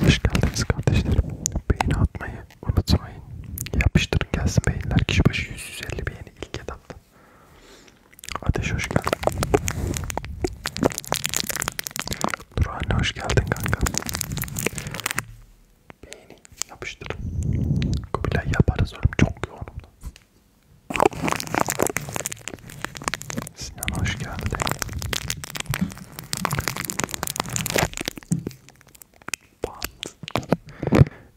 Hoş geldiniz kardeşlerim. Beğeni atmayı unutmayın. Yapıştırın gelsin beğeniler. Kişi başı 150 beğeni ilk etapta. Ateş hoş geldin. Nurhanne hoş geldin kanka. Beğeni yapıştırın. Kubilay yaparız oğlum çok yoğunum. Sinan hoş geldin. Bant.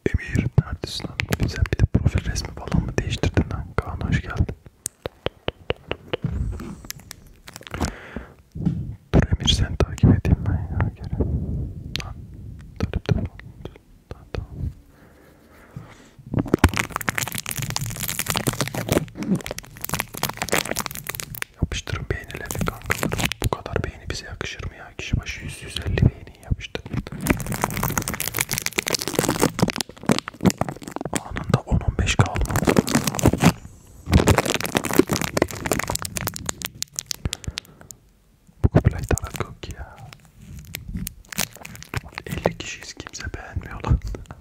Emir neredesin lan? Sen bir de profil resmi falan mı değiştirdin lan? Kaan hoş geldin. Dur Emir seni takip edeyim ben ya geri. Lan. Dur dur dur. Tamam tamam. Yapıştırın beğenileri kankalarım. Bu kadar beğeni bize yakışır mı ya? Kişi başı 100-150 beğeni yapıştırın. Anında 10-15 kaldı. Bu kubilay tarak yok ya. 50 kişiyiz kimse beğenmiyor lan.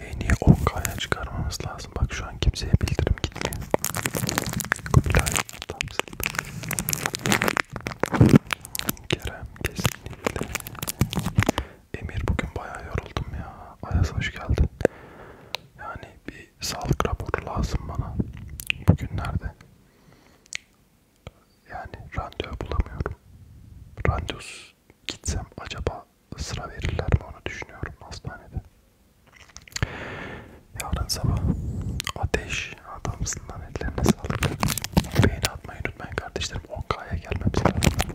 En iyi 10K'ya çıkarmamız lazım. Bak şu an kimseye bildirim gitmiyor. Kubilay Atamsın. Kerem kesinlikle. Emir bugün bayağı yoruldum ya. Ayaz hoş geldin. Yani bir bir sağlık raporu lazım bana bugünlerde. Yani randevu bulamıyorum. Randevusuz gitsem acaba sıra verirler mi onu düşünüyorum hastanede. Yarın sabah ateş adamsın lan ellerine sağlık kardeşim. Beğeni atmayı unutmayın kardeşlerim. 10K'ya gelmemiz lazım.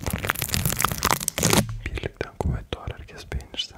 Birlikten kuvvet doğar herkes beğenirse.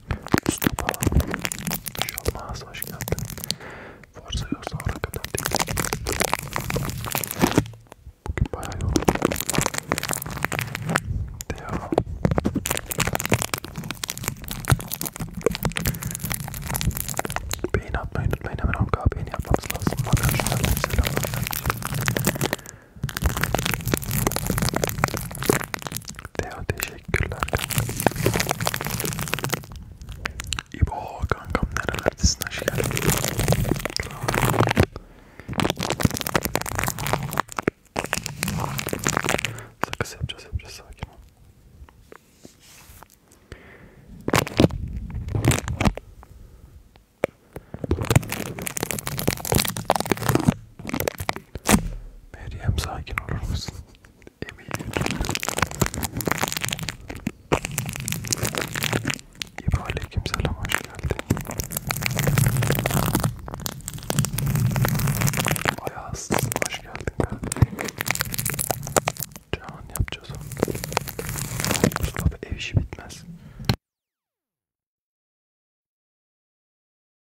Mustafa Şalmaz şey hoş geldin. Forza yoksa oraya kadar değil. Bugün bayağı yoruldum. Devam. Beyin atmayı unutmayın hemen onka beyin yapmamız lazım. Arkadaşlar selamlar. Teo teşekkür Teşekkürler kankam. İbo kankam nerelerdesin hoş geldin. Sakız yapacağız yapacağız sakin ol. Meryem sakin olur musun? eminim. İbo aleykümselam hoş geldin. Ayaz hoş geldin kardeşim. Can yapacağız onu. Mustafa ev işi bitmez.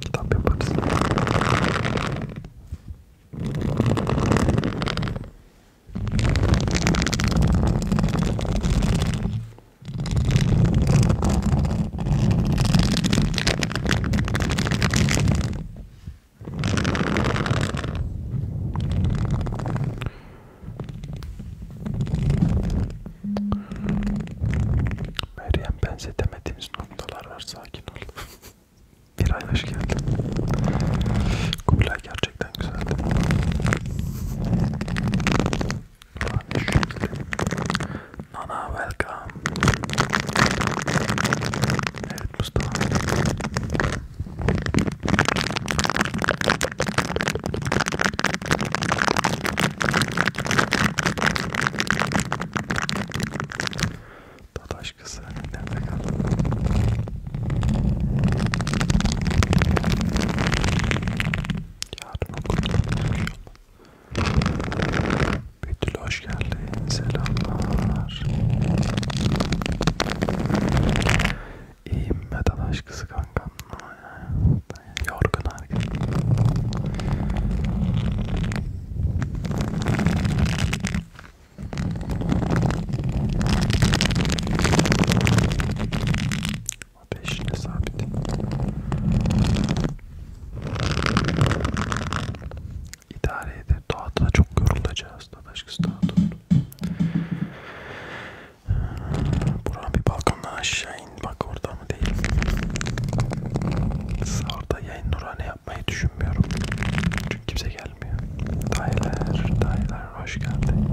kitap yaparız. Meryem benzetemediğiniz noktalar var sakin ol. Bir ay hoş geldin. Kubilay gerçekten güzeldi. Nana welcome. Evet Mustafa. Dadaş kız nerede kaldı? Yarın okulda Betül hoş geldin. Selamlar. İyiyim be Dadaş kızı kankam. Yorgun herkes. Beşine sabit. İdare edin. Doğada çok yorulacağız. Başkası daha durdu. Buran bir balkondan aşağı in. Bak orada mı değil. Orada yayın nurhane yapmayı düşünmüyorum. Çünkü kimse gelmiyor. Dayılar, dayılar hoş geldin.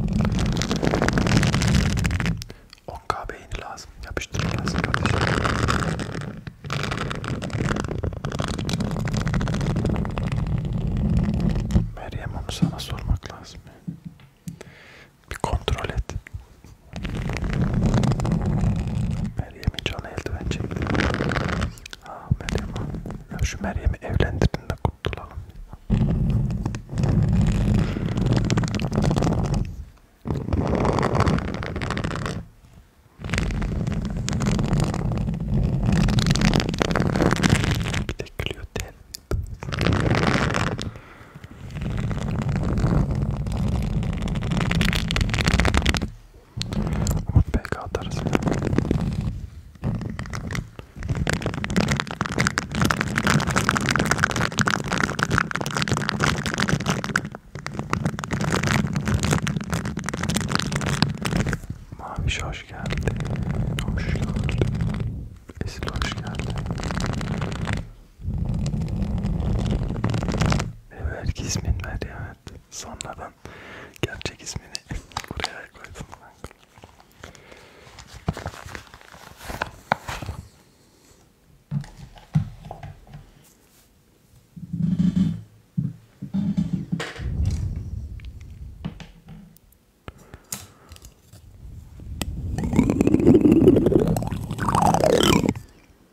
10k beğeni lazım. Yapıştırın lazım kardeşim. Meryem onu sana sormak lazım. Bir kontrol et. Meryem'i can eldiven çekti. Ah Meryem ha. Ya şu Meryem'i evlendirin de kurtulalım. Bir de gülüyor tel. PK atarız. Maviş hoş geldi. Hoş gördüm. Esil hoş geldi. Evet ismin ver ya. Evet. Sonradan gerçek ismini buraya koydum.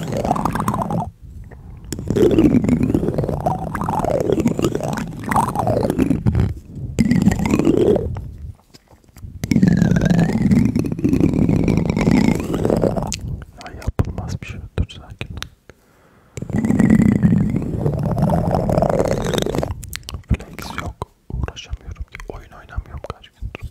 Ya yapılmaz bir şey. Dur sakin ol. Flex yok. Uğraşamıyorum ki. Oyun oynamıyorum kaç gündür.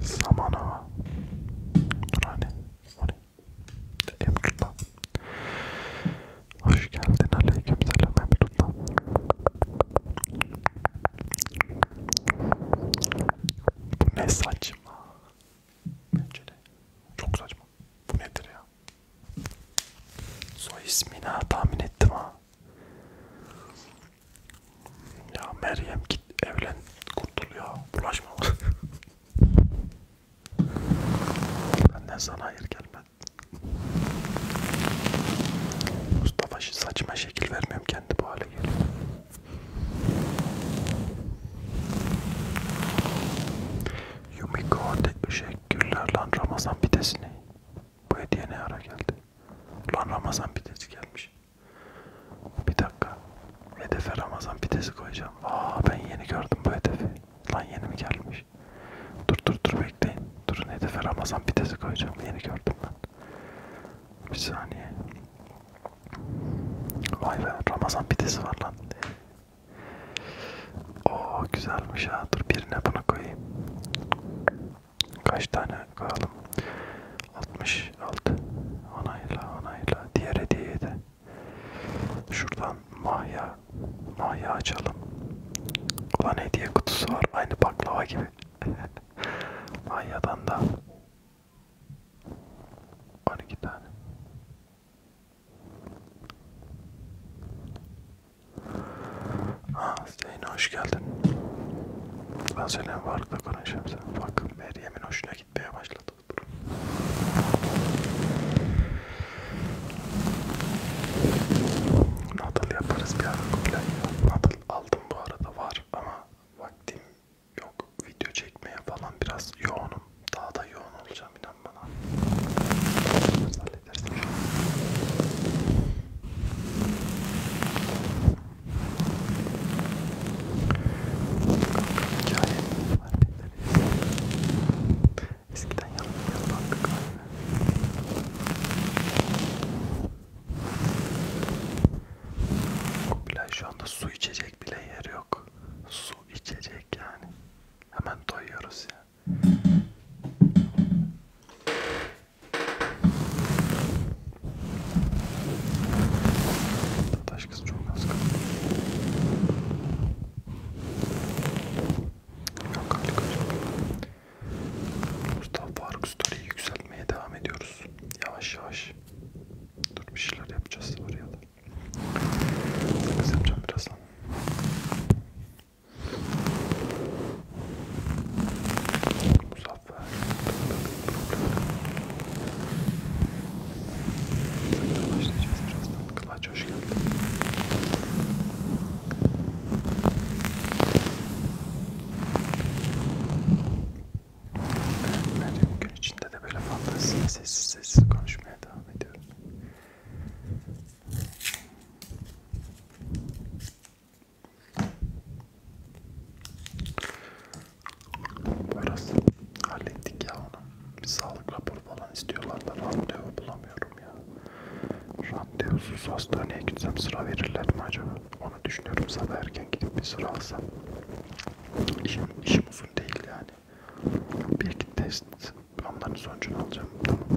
zamana dur hani Emrullah hoş geldin aleyküm selam Emrullah bu ne saçma bence de çok saçma bu nedir ya soy ismini tahmin ettim ha ya Meryem git evlen kurtul ya. Bulaşma bana. Benden sana hayır gelmedi. Mustafa saçma şekil vermiyorum kendi bu hale geliyor. Yumiko teşekkürler lan Ramazan pidesini. Bu hediye ne ara geldi? Lan Ramazan pidesi gelmiş. Bir dakika. Hedefe Ramazan pidesi koyacağım. Aa ben yeni gördüm bu hedefi. Lan yeni mi gelmiş? Dur dur dur bekleyin. Durun hedefe Ramazan pidesi koyacağım. Yeni gördüm ben. Bir saniye. Vay be Ramazan pidesi var lan. Oo güzelmiş ha. Dur birine bunu koyayım. Kaç tane koyalım? 60 5, 6 onayla onayla diğer hediyeyi de şuradan mahya mahya açalım ulan hediye kutusu var aynı baklava gibi mahyadan da 12 tane Aa, Zeynep hoş geldin. Ben seninle varlıkla konuşacağım sen. Bak. Meryem'in hoşuna gitmeye başladı bu durum. Nadal yaparız bir ara Kubilay ya. Nadal aldım bu arada var ama vaktim yok. Video çekmeye falan biraz yoğunum. Daha da yoğun olacağım inan bana. Halledersin şu an. Hikaye Eskiden yanımda baktık aynı. O plaj şu anda su içecek bile yer yok. Su içecek yani. Hemen doyuyoruz ya. Yani. Taş kız çok az kaldı. Yok hali Mustafa Faruk Story'yi yükseltmeye devam ediyoruz. Yavaş yavaş. Dur bir şeyler yapacağız oraya da. Sakız yapacağım birazdan. Musa Zafer. Zaten başlayacağız birazdan. Kılaç hoş geldin. Benim gün içinde de böyle fantaziyle sessiz sessiz konuşmaya devam ediyorum. Burası hallettik ya onu. Bir sağlık raporu falan istiyorlar da randevu bulamıyorum ya. Randevusuz hastaneye gitsem sıra verirler mi acaba? Onu düşünüyorum sabah erken gidip bir sıra alsam. İşim, işim uzun değil yani. Bir iki test onların sonucunu alacağım. Tamam.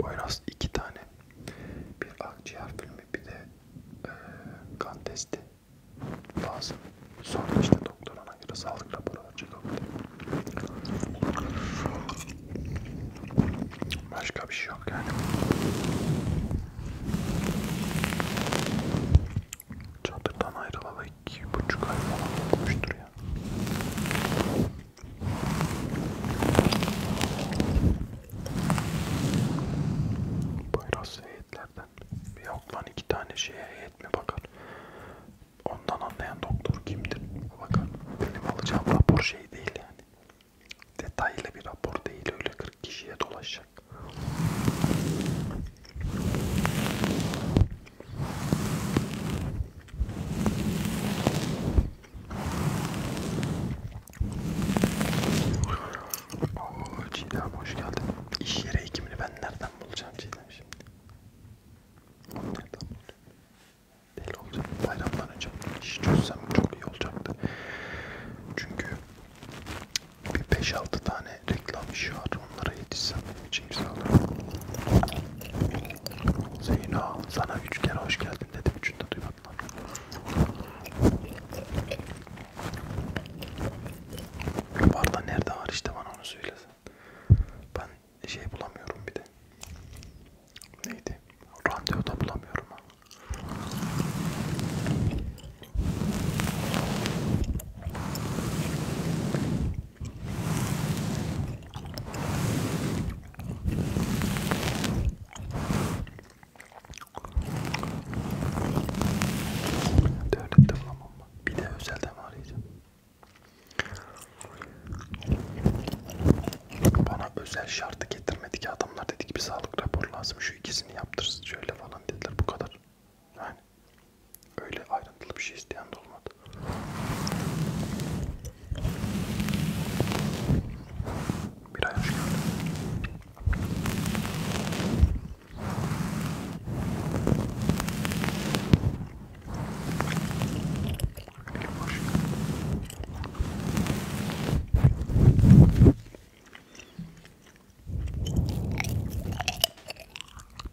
Boyraz iki tane, bir akciğer filmi bir de e, kan testi lazım. Sonra işte doktor ona göre sağlık raporu verecek. Başka bir şey yok yani. Çadırdan ayrılalı iki buçuk ay falan olmuştur ya. Poyraz heyetlerden. Yok lan iki tane şeye heyet mi bakar? Ondan anlayan doktor kimdir? Bakar. Benim alacağım rapor şey değil yani detaylı bir rapor değil öyle 40 kişiye dolaşacak. Oo Çiğdem hoş geldin. İş yeri hekimini ben nereden bulacağım Çiğdem şimdi? Nereden bulacağım? değil olacak. Bayramdan önce işi çözsem çok iyi olacaktı. Çünkü bir 5-6 tane reklam işi var. Onlara yetişsem benim için güzel olur. Zeyno sana üç kere hoş geldin dedim. Üçünü de duymadılar. Barda nerede var işte bana onu söylesen. Ben şey bulamıyorum bir de neydi? Randevu da bulamıyorum. Devlette bulamam. Bir de özelden arayacağım. Bana özel şartı getirmedi ki adamlar dedi ki bir sağlık raporu lazım şu ikisini yaptırsın şöyle falan dediler bu kadar. Yani öyle ayrıntılı bir şey isteyen de olmadı. Bir ay hoş geldin.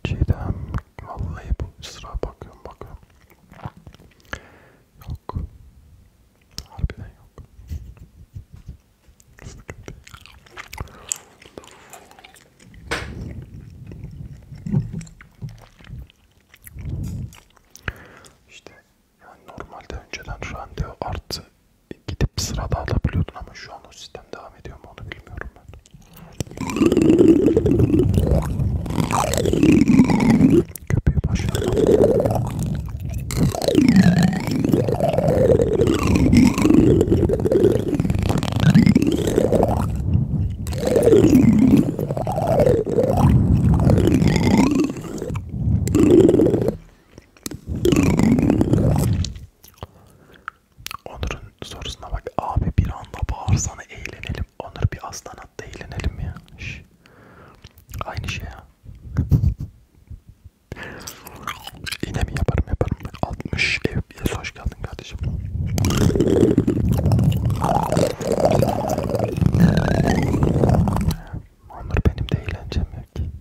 Çiğdem vallahi bu sıra bakıyorum bakıyorum. Yok. Harbiden yok. Sıkıntı. İşte yani normalde önceden randevu artı gidip sırada alabiliyordun ama şu an o sistem devam ediyor mu onu bilmiyorum ben. Köpeği başlayalım. Onur'un sorusuna bak abi bir anda bağırsana eğlenelim. Onur bir aslan hatta eğlenelim ya. Şş. Aynı şey ya. Yine mi yaparım yaparım. 60 ev yes, hoş geldin kardeşim. Onur benim de eğlencem yok ki.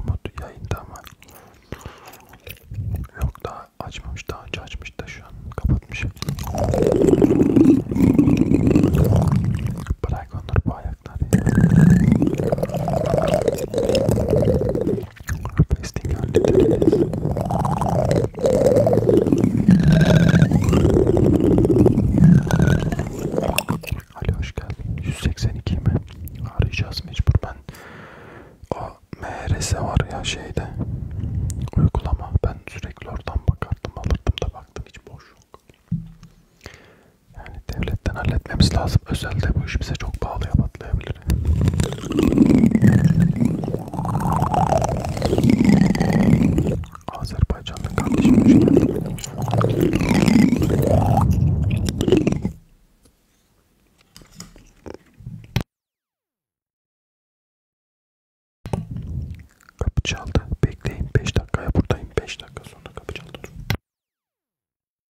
Umut yayında ama yok daha açmamış daha önce açmış da şu an kapatmış. Bırak Onur bu ayakları. Fasting hallederiz. Ali hoş geldin. 182 mi? Arayacağız mecbur ben. O MRS var ya şeyde. Uygulama. Ben sürekli oradan bakardım alırdım da baktım hiç boş yok. Yani devletten halletmemiz lazım. Özelde bu iş bize çok pahalıya patlayabilir. Azerbaycan'da kardeşim hoş geldin. Kapı çaldı. Bekleyin 5 dakikaya buradayım. 5 dakika sonra kapı çaldı.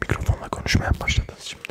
Mikrofonla konuşmaya başladınız şimdi.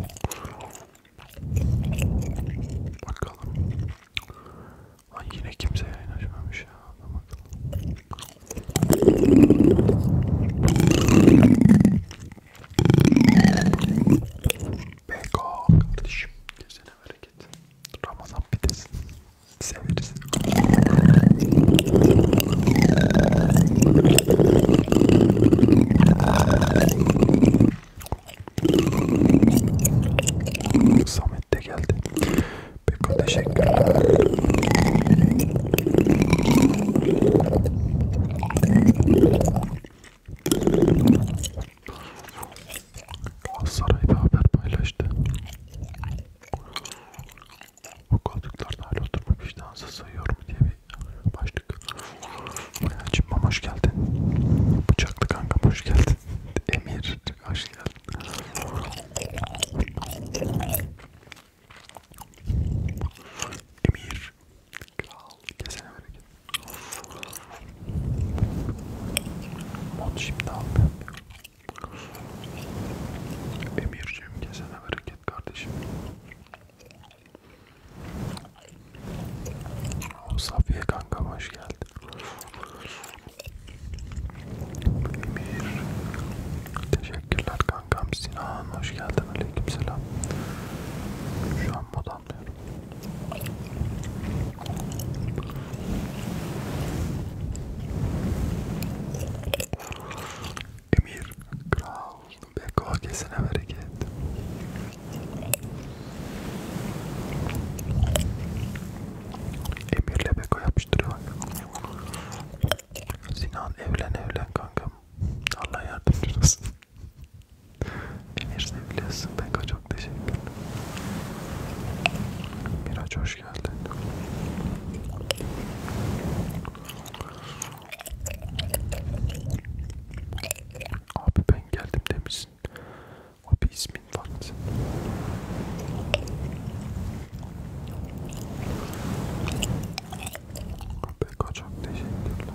Bakalım. Ay yine kimse yayın açmamış ya. Beko kardeşim. Gözüne bereket. Ramazan pidesi. Severiz. Samet de geldi. Peko teşekkürler. Galatasaray bir haber paylaştı. Bu koltuklarda hala oturma vicdansı sayıyorum diye bir başlık. Bayancım hoş geldin. Bıçaklı kanka hoş geldin. Emir hoş geldin. Emir. Kral. Kesene bereket. Mod şimdi almıyorum ya. Emir'cim kesene bereket kardeşim. Safiye kanka hoş geldin. Emir. Teşekkürler kankam. Sinan hoş geldin. Aleykümselam. Şu an mod anlıyorum. Emir Kraus Beko kesine bereket. Emir'le Beko yapıştırıyor bak. Sinan evlen evlen kankam. Allah yardımcın olsun. Emir seviyorsun Beko çok teşekkürler. Miraç hoş geldin. Abi ben geldim demişsin. Abi ismin farklı. Abi kaçak teşekkürler.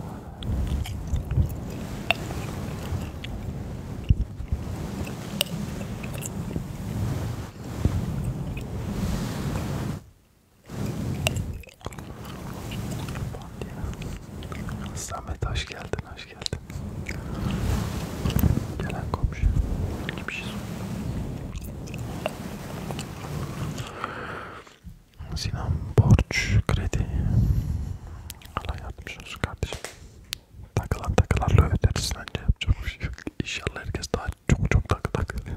Samet hoş geldin, hoş geldin. Gelen komşu. Bir şey Sinan borç, kredi. Allah yardımcı olsun kardeşim. Takılan takılarla öderiz bence. Çok şey yok. İnşallah herkes daha çok çok takı takılıyor.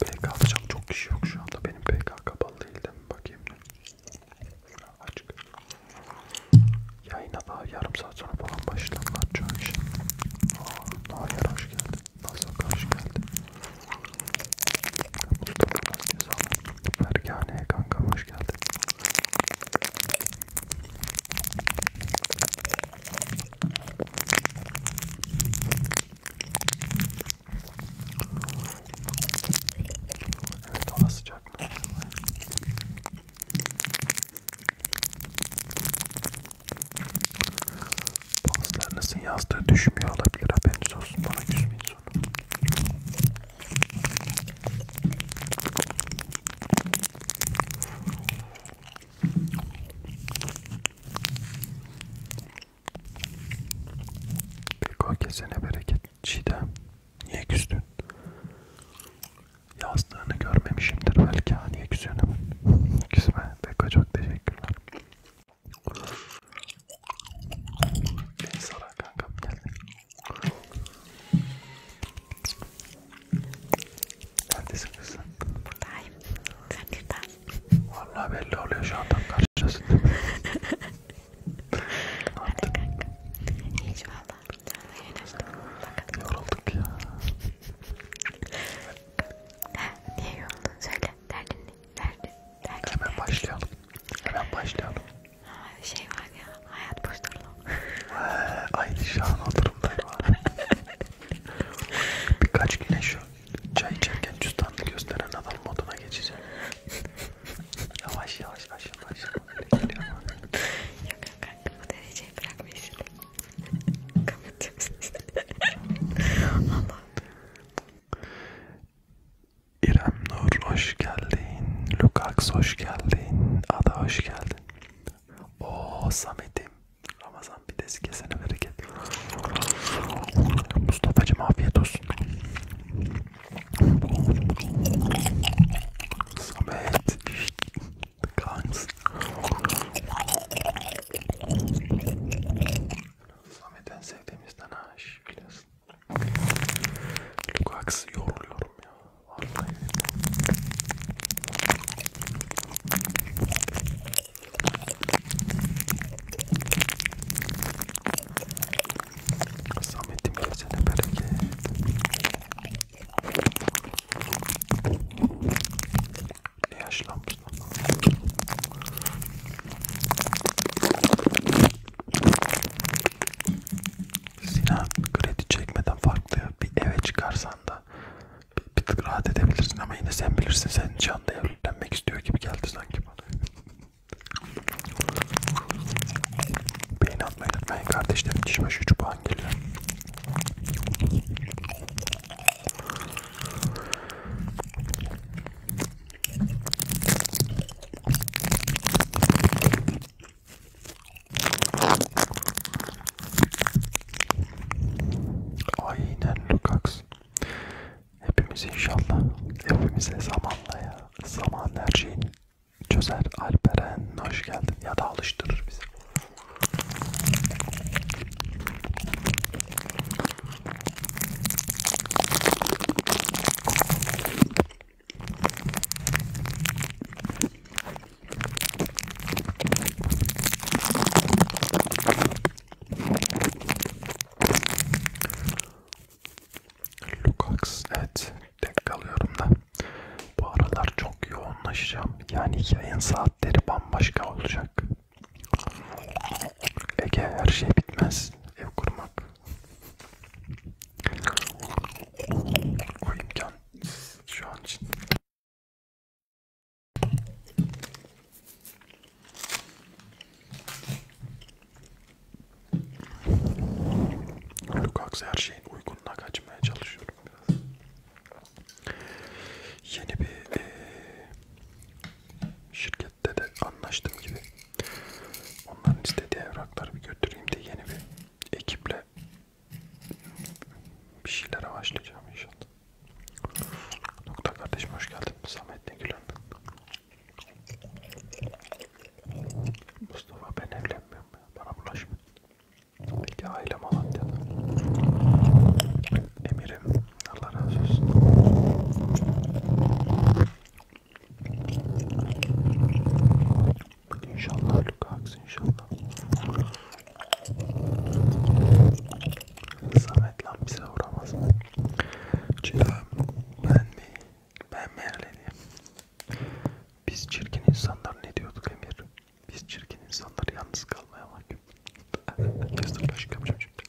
PK'da çok kişi yok şu anda. Benim PK kapalı değil de mi? Bakayım. Açık. Yayına daha yarım saat sonra falan başlarlar çoğu işin. Aa, Nahir hoş geldin. Nasıl hoş geldin. Mustafa Nazcı sana. Fergane'ye kanka hoş geldin. Evet o da sıcak. Bazılarınızın yazdığı düşmüyor olabilir haberiniz olsun bana küsmeyin sonra. Bilko kesene bereket. Çiğdem niye küstün? Yazdığını görmemişimdir belki. Ha, niye küsüyorsun hemen? Küsme. Beko çok teşekkürler. Beni saran kankam geldi. Neredesin kızım? Buradayım. Sen neredesin? Valla belli oluyor şu an tam karşıdasın değil mi? Hadi kanka. Hiç valla. Sen de yayınlaştın. Yorulduk ya. ha, niye yoruldun? Söyle. Derdin ne? Derdin. Derdin Hemen derdin. başlayalım. Hemen başlayalım. Ha, şey var ya. Hayat boşluğu. Aynı şu an o durumdayım. Birkaç güne şu Çay içerken cüzdanını gösteren adam moduna geçeceğim. yavaş yavaş aşağı aşağı geliyor ama. Yok kanka bu dereceyi bırakmayız. Kapatıyoruz. Allah. İrem Nur hoş geldin. Lukax hoş geldin. Ada hoş geldin. Oo Samet'im. Ramazan pidesi kesene bereket. Mustafa'cım afiyet olsun. Samet. Kans. Samet en sevdiğimizden aş biliyorsun. Lukaks'ı yoruluyorum ya. Vallahi. Samet'im gelsene bereket. Ne yaşlanmışsın ama. Sinan kredi çekmeden farklı bir eve çıkarsan da bir, bir tık rahat edebilirsin ama yine sen bilirsin senin canlı evlenmek istiyor gibi geldi sanki bana. Beğeni atmayı unutmayın kardeşlerim. Diş başı 3 puan geliyor. Aynen Lukacs. Hepimiz inşallah, hepimize zamanla ya, zaman her şeyi çözer. Alperen hoş geldin ya da alıştırır bizi. Lukax evet tek kalıyorum da bu aralar çok yoğunlaşacağım yani yayın saatleri bambaşka olacak Ege her şey bitmez ev kurmak o imkan şu an için Lukaks her şeyin uygununa kaçmaya çalışıyorum biraz. Yeni bir e, şirkette de anlaştığım gibi onların istediği evrakları bir götüreyim de yeni bir ekiple bir şeylere başlayacağım inşallah. Nokta kardeşim hoş geldin. Samet ne gülen. Mustafa ben evlenmiyorum. Bana bulaşma. Peki aile Malatya'da. Emirim. Allah razı olsun. İnşallah Lukax inşallah. Samet lan bize vuramaz. Çırağım ben mi? Ben mi erleneyim? Biz çirkin insanlar ne diyorduk Emir? Biz çirkin insanlar yalnız kalmaya mahkum. Kestim başka yapacağım şimdi.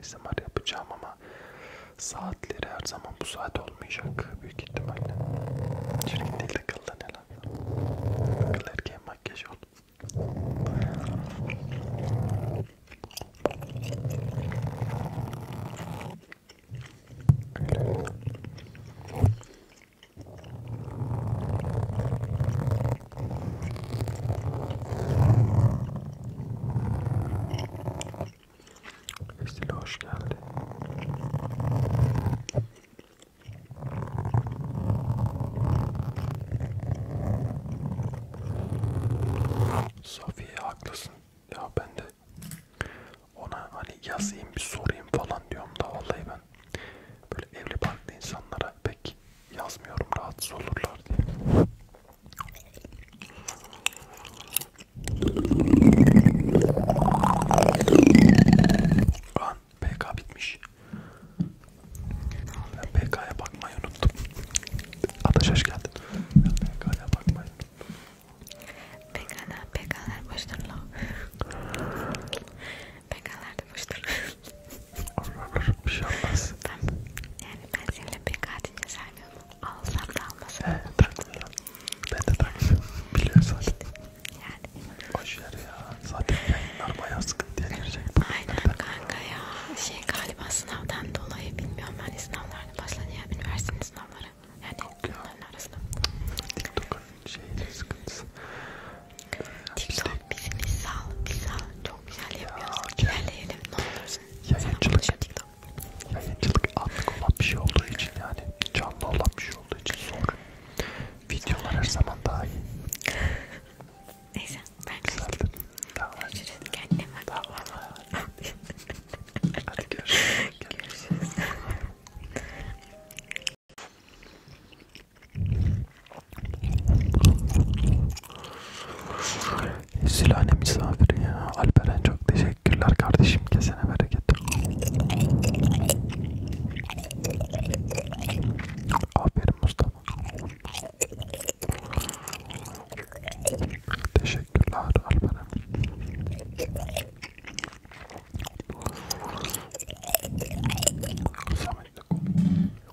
ASMR yapacağım ama ama saatleri her zaman bu saat olmayacak büyük ihtimalle. Çirkin değil de kıldan helal. Kıl erkeğin makyajı oldu. Estile hoş geldi. Safiye haklısın. Ya ben de ona hani yazayım bir sorayım falan diyorum da vallahi ben böyle evli barklı insanlara pek yazmıyorum rahatsız olurlar diye. An PK bitmiş. Ben PK'ya bakmayı unuttum. Ataş hoş geldin. Ben PK'ya bakmayı unuttum. PK'lar, PK'lar boştur lan. PK'lar da boştur. Allah Allah bir şey olmaz. Ben, yani ben seninle PK deyince saymıyorum. Alsam da almasam. He takmıyorum. Ben de takmıyorum. Biliyorsun zaten. Yani. Boş ver ya. Zaten yayınlar bayağı sıkıntıya girecek. Aynen kanka ya. Şey galiba sınavdan dolayı bilmiyorum ben sınavlarını başlayacağım. Üniversitenin sınavları. Yani bunların arasında. TikTok'un şeyin sıkıntısı. TikTok bizi bir sal, bir sal. Çok güzel yapıyoruz. Ya, İlerleyelim ne olursun. Yayıncılık. Yayıncılık anlık olan bir şey olduğu için yani canlı olan bir şey olduğu için zor. Videolar her zaman daha iyi. Neyse ben kaçtım. Görüşürüz. Kendine bak. Tamam. Hadi görüşürüz. Görüşürüz. Silahane misafiri ya. Alperen çok teşekkürler kardeşim. Kesene bereket. Aferin Mustafa. Teşekkürler Alperen.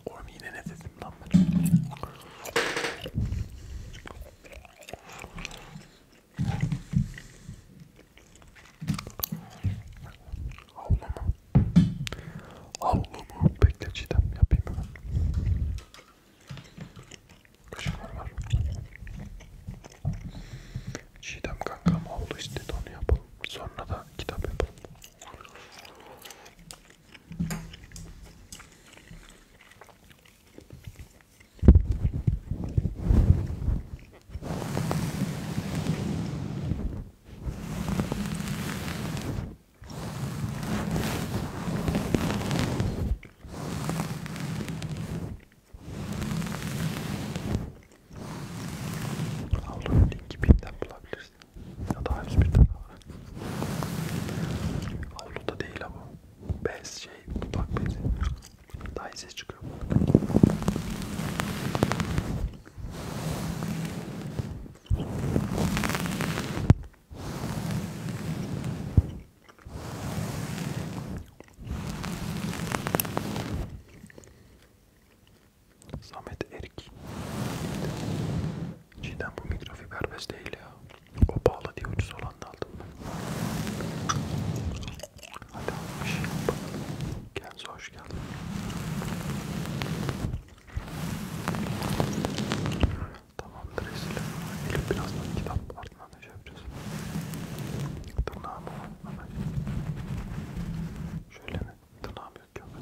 Oğlum yine ne dedim lan ben? Havlumu. Havlumu. Bekle Çiğdem yapayım hemen. Kaşıklar var. Çiğdem kankam havlu istedi onu yapalım. Sonra da kitap yapalım. Allah'ın linki birden bulabilirsin. Ya da henüz birden daha. Avluda değil ama bez şey dudak bezi daha iyi ses çıkıyor. Samet Erik. Cidden bu mikrofiber bez değil ya. O pahalı diye ucuz olanı aldım ben. Hadi almış. Kendinize hoş geldin. Tamamdır Esile. Elif birazdan kitap ardından ne şey yapacağız? Tırnağımı var. Şöyle mi? Tırnağım yok ya ben.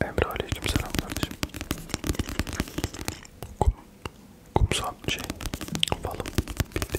Emre aleyküm selam kardeşim. Kum, kumsal şey, balım bitti.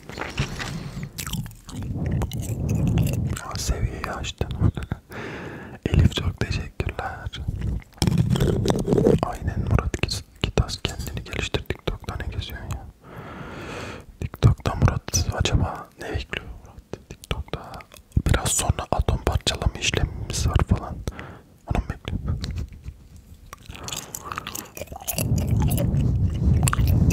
O seviyeyi açtın. Elif çok teşekkürler. Aynen Murat Kitas kendini geliştir. TikTok'ta ne geziyorsun ya? TikTok'ta Murat acaba ne bekliyor Murat? TikTok'ta biraz sonra atom parçalama işlemimiz var falan. Onu mu bekliyorum?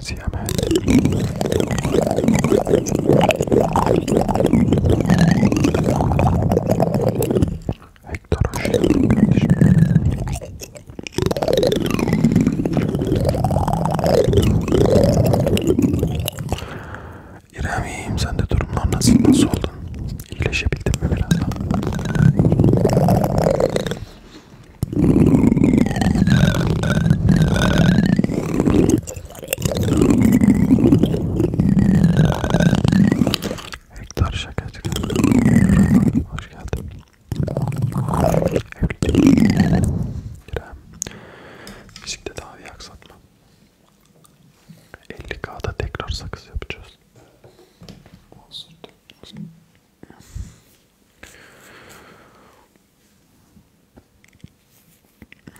Siyamet. Hector Hoşçakalmış. İrem'im sen de durumlar nasıl nasıl oldun? İyileşebildin mi biraz daha? Hektar şakacı. Hoş geldin. İrem. Fizikte daha iyi aksatma. 50K'da tekrar sakız yapacağız. Olsun.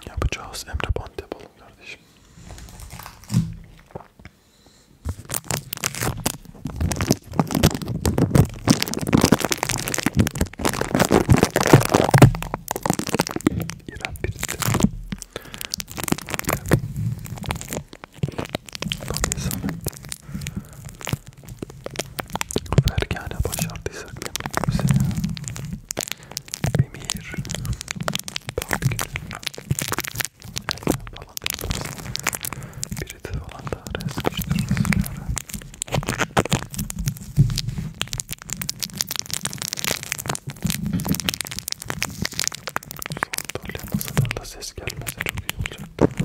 Yapacağız Emre Bant yapalım kardeşim. İran birisi. Tabii sanat. Fergane başardıysak yapalım bize ya. Bemir, Park, Elden falan Biriti falan da resmiştir sıra. Sandalye masadan da ses gelmese çok iyi olacaktı.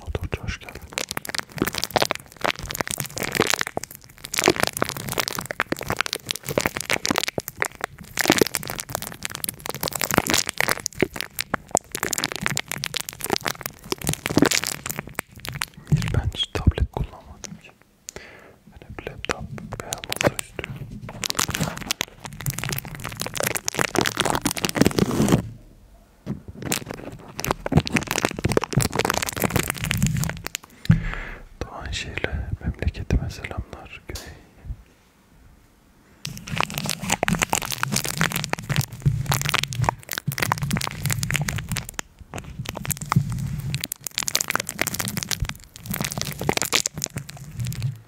Motorcu hoş geldin. Hiç ben hiç tablet kullanmadım ki. Ben hep laptop veya masaüstü. Doğanşehir'le memleketime selamlar Güney.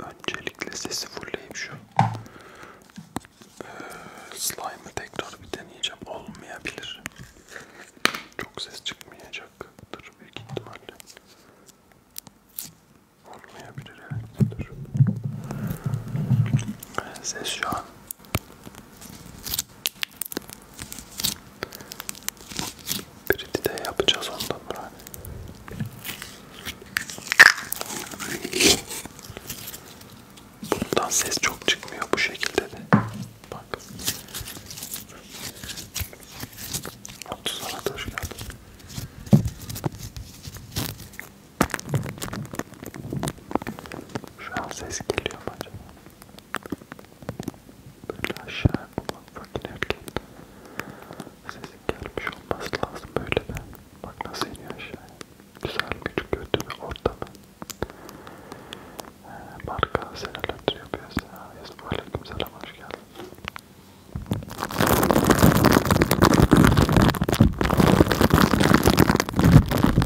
Öncelikle sesi fulleyip şu ee, slime'ı tekrar bir deneyeceğim. Olmayabilir. Çok ses çıkmayacaktır büyük ihtimalle. Olmayabilir evet. Dur. Ses şu an Pretty de yapacağız ondan Burhan. Bundan ses çok çıkmıyor bu şekilde de. Bak. Abdus Arat hoş geldin. Şu an ses geliyor mu acaba? Böyle aşağıya mutfağa inerken sesin gelmiş olması lazım böyle de. Bak nasıl iniyor aşağıya. Güzel küçük kötü bir ortamı. Ee, marka senelerdir yapıyoruz ya. Ee, Yazıp aleyküm selam hoş geldin.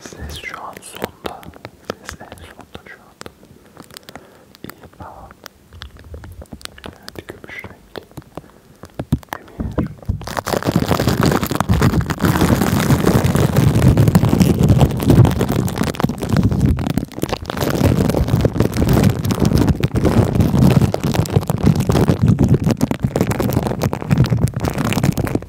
Ses şu an sonda. Ses en sonda şu anda. İyi tamam. Evet gümüş renk. Emir. Slime böyle açtığımda Slime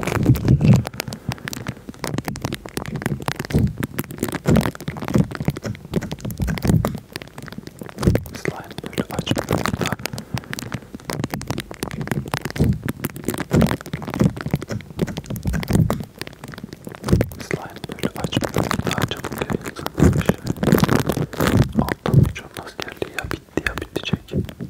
böyle açtığımda çabuk yayılsın bir şey Altın gücünün askerliği ya bitti ya bitecek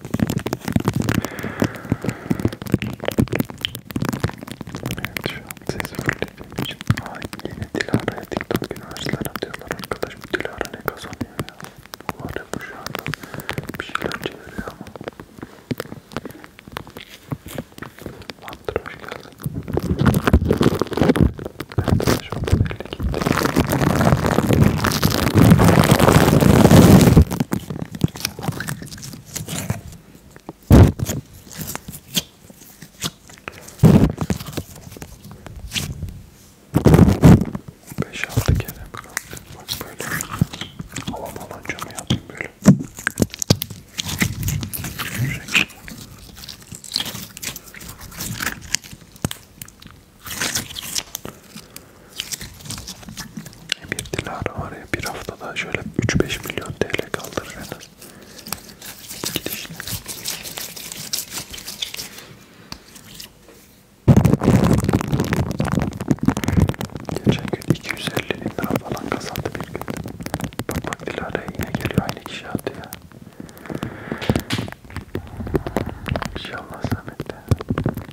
Evet şu an sesi fırladığım için Ay yine Dilara'ya TikTok üniversiteler atıyorlar arkadaşım Dilara ne kazanıyor ya Umarım şu anda bir şeyler çeviriyor ama Mantıra hoş geldin Ben de şu anda belli gitti Beş altı kere kaldı. Bak böyle hava balonca mı yaptım böyle? Şekil. Bir Dilara var ya bir haftada şöyle 3-5 milyon TL kaldırır en az. Gidişine. Geçen gün 250 bin lira falan kazandı bir gün. Bak bak Dilara'ya yine geliyor aynı kişi attı ya. İnşallah zahmetle.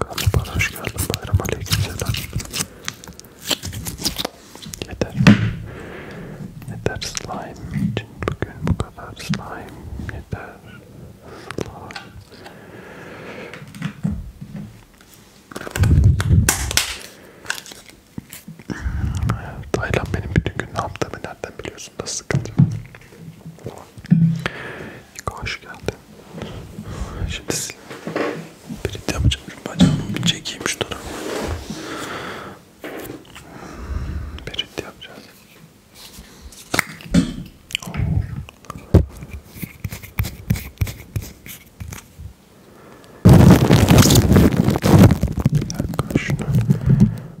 Galiba hoş geldin bayram aleyküm selam. Yeter. Yeter slime için bugün bu kadar slime yeter. Slime. Taylan benim bütün gün ne yaptığımı nereden biliyorsun da sıkıntı. Hoş geldin. Şimdi pirit yapacağım. Şu bacağımı bir çekeyim şu tarafa. Pirit yapacağız. Oh. Yaklaşın.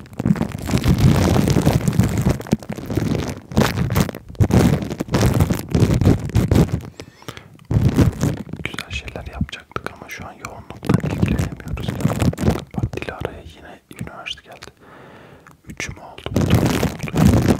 Güzel şeyler yapacaktık ama şu an yoğunluktan ilgilenemiyoruz. Bak Dilara'ya yine üniversite geldi. Üçüm oldu. Üç oldu.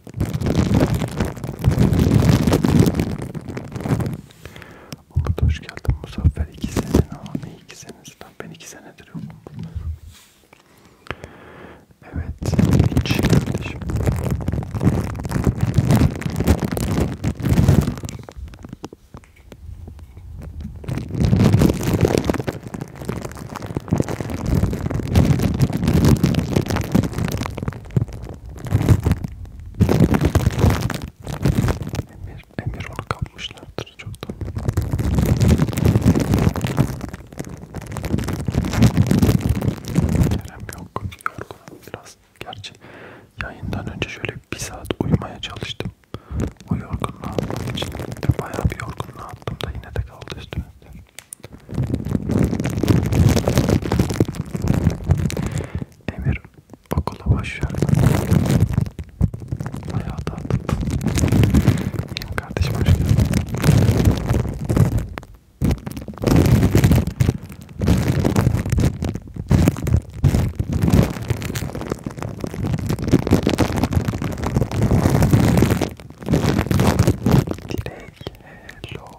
Orada hoş geldin Muzaffer. İki sene ne? Ne iki senesi? Lan ben iki senedir yokum. Evet, hiç kardeşim. Emir, Emir onu kapmışlardır çoktan. Kerem yok, yorgunum biraz. Gerçi yayından önce şöyle bir saat uyumaya çalıştım. O yorgunluğu atmak için de bayağı bir yorgunluğu attım da yine de kaldı üstümde. Emir okula başlarken hayata atıldı. Yeni kardeşim hoş geldin. Dilek hello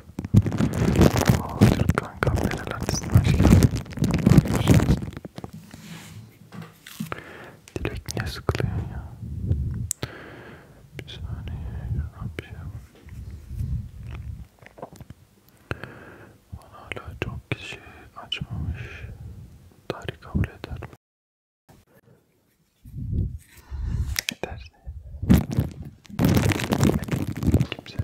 Aa, Türk kanka neler artistin aşkına. Dilek niye sıkılıyor ya? Bir saniye bir şey yapayım. Bana hala çok kişi açmamış. Tarih kabul eder mi? Eder. Kimse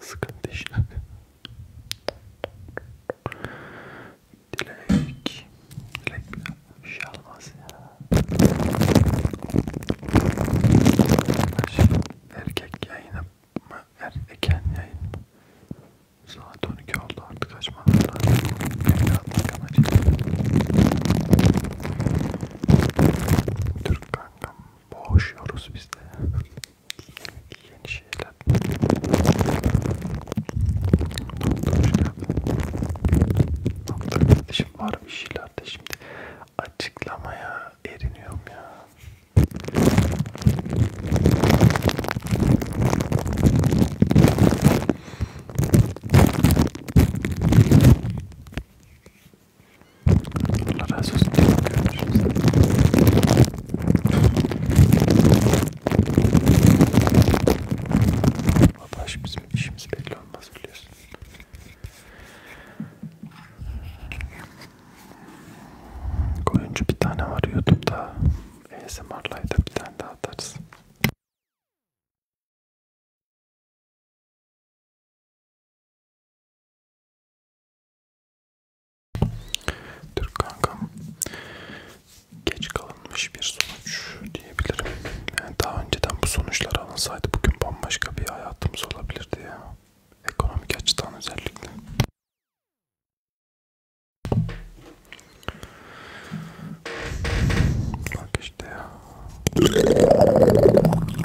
Sıkıntı işte. Dilek. Dilek bir şey almaz ya. Erkek yayını mı? Erken yayın mı? Saat 12 oldu artık açmam lazım. Evlatlık amacıyla. Türk kankam boğuşuyoruz biz de. Yeni şeyler. Doktor kardeşim var bir şeyler de şimdi açıklamaya eriniyorum ya. Allah razı olsun. Babaş bizim işimiz belli olmaz biliyorsun. Koyuncu bir tane var YouTube'da. ASMR'laydı bir tane daha atarız. Türk kankam geç kalınmış bir sonuç diyebilirim. Yani daha önceden bu sonuçlar alınsaydı bugün bambaşka bir hayatımız olabilirdi ya. Ekonomik açıdan özellikle. Bak işte ya.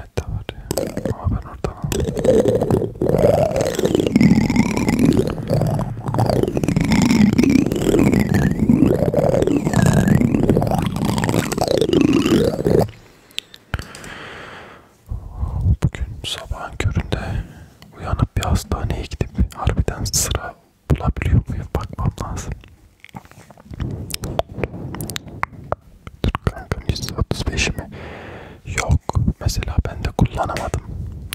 internette var ya. Ama ben oradan aldım. Bugün sabahın köründe uyanıp bir hastaneye gidip harbiden sıra bulabiliyor muyum bakmam lazım. Dur kanka %35 mi? Yok. Mesela ben de kullanamadım.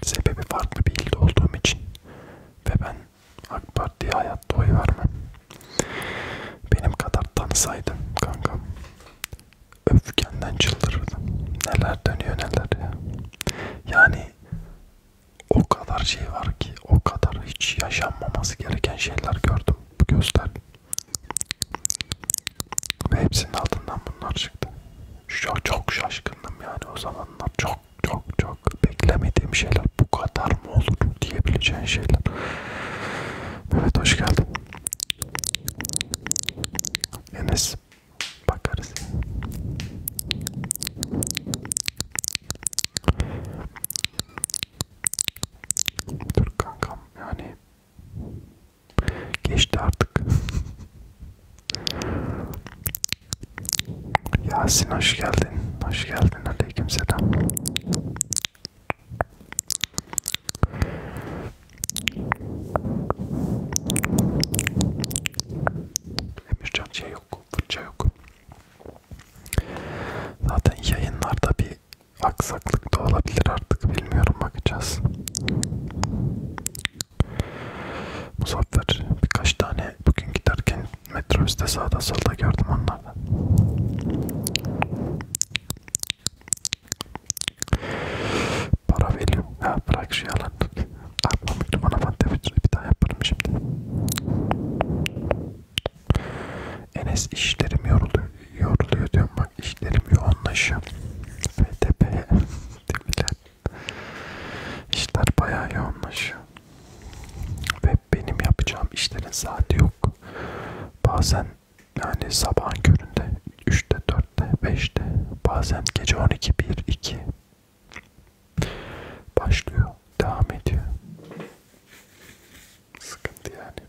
Sebebi farklı bir ilde olduğum için. Ve ben AK Parti'ye hayatta oy vermem. Benim kadar tanısaydım kanka. Öfkenden çıldırırdım. Neler dönüyor neler ya. Yani o kadar şey var ki, o kadar hiç yaşanmaması gereken şeyler gördüm bu gözler ve hepsinin altından bunlar çıktı. Çok, çok şaşkındım yani o zamanlar. Çok çok çok beklemediğim şeyler. Bu kadar mı olur diyebileceğin şeyler. Evet hoş geldin. Enes bakarız. Dur kankam yani Geçti artık. Yasin hoş geldin. Hoş geldin. Aleyküm selam. Emircan şey yok, fırça yok. Zaten yayınlarda bir aksaklık da olabilir artık bilmiyorum bakacağız. Muzaffer birkaç tane bugün giderken metrobüste sağda solda gördüm onlardan. Para veriyorum. Ha bırak şu yalan. Aklımda ah, bana madde bir daha yaparım şimdi. Enes işlerim yoruluyor, yoruluyor diyorum bak işlerim yoğunlaşıyor. FTP demirler. İşler bayağı yoğunlaşıyor. Ve benim yapacağım işlerin saati yok. Bazen yani sabahın köründe 3'te 4'te 5'te bazen gece 12 1 2 başlıyor devam ediyor sıkıntı yani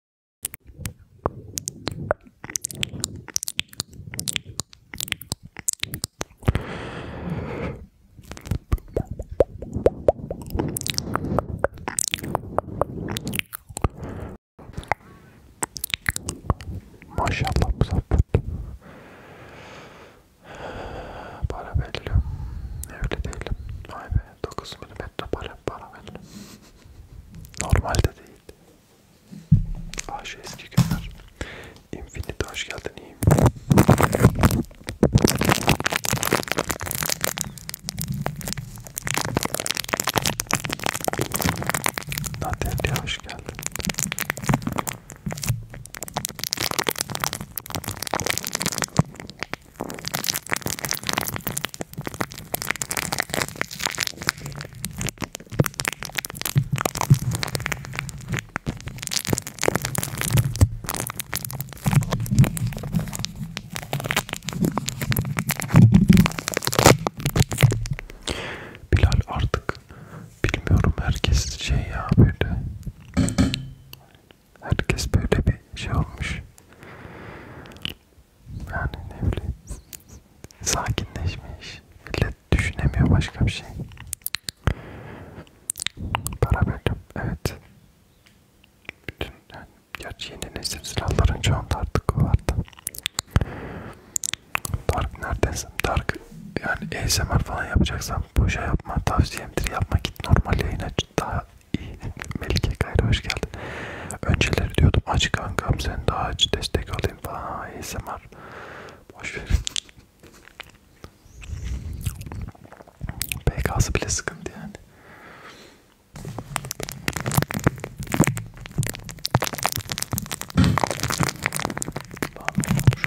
Maşallah Muzaffet. Para belli. Evli değilim. Vay be. 9 milimetre para, para belli. Normalde değil değildi. Ah şu eski günler. Infinity hoş geldin iyiyim. Naderli'ye hoş geldin. Bilal artık bilmiyorum herkes şey ya böyle herkes böyle bir şey olmuş yani ne bileyim sakinleşmiş. Millet düşünemiyor başka bir şey. Para verdim. Evet. Bütün yani gerçi yeni nesil silahların çoğunda artık o vardı. Dark neredesin? Dark yani ASMR falan yapacaksam bu şey yapma tavsiyemdir. Yapma git normal yayın aç. Daha iyi. Melike Gayrı hoş geldin vardı. Önceleri diyordum aç kankam sen daha aç destek alayım falan ASMR. Boş verin. PK'sı bile sıkıntı yani.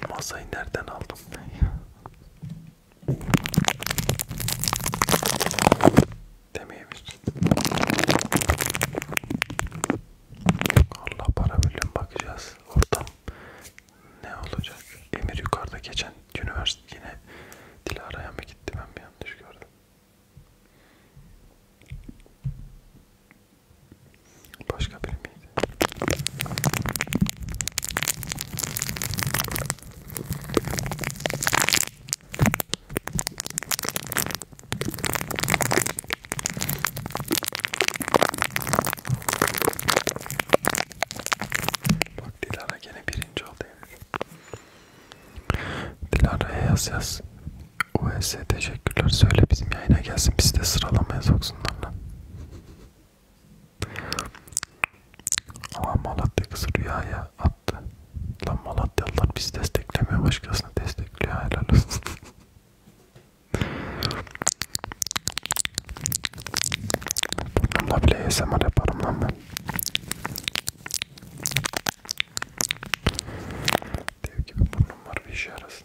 Şu masayı nereden aldım ben ya? demeyebilirsin. Allah para birliğine bakacağız. Ortam ne olacak? Emir yukarıda geçen üniversite yine Dilara'ya mı gitti ben mi yanlış gördüm? Başka biri miydi? Bak Dilara gene birinci oldu Emir. Dilara'ya yaz yaz. US teşekkürler söyle bizim yayına gelsin biz de sıralamaya soksunlar lan. Ama Malatya kızı rüyaya at attı. Lan Malatyalılar biz desteklemiyor başkasını destekliyor helal olsun. Bununla bile ASMR yaparım lan ben. Dev gibi burnum var bir işe yarasın.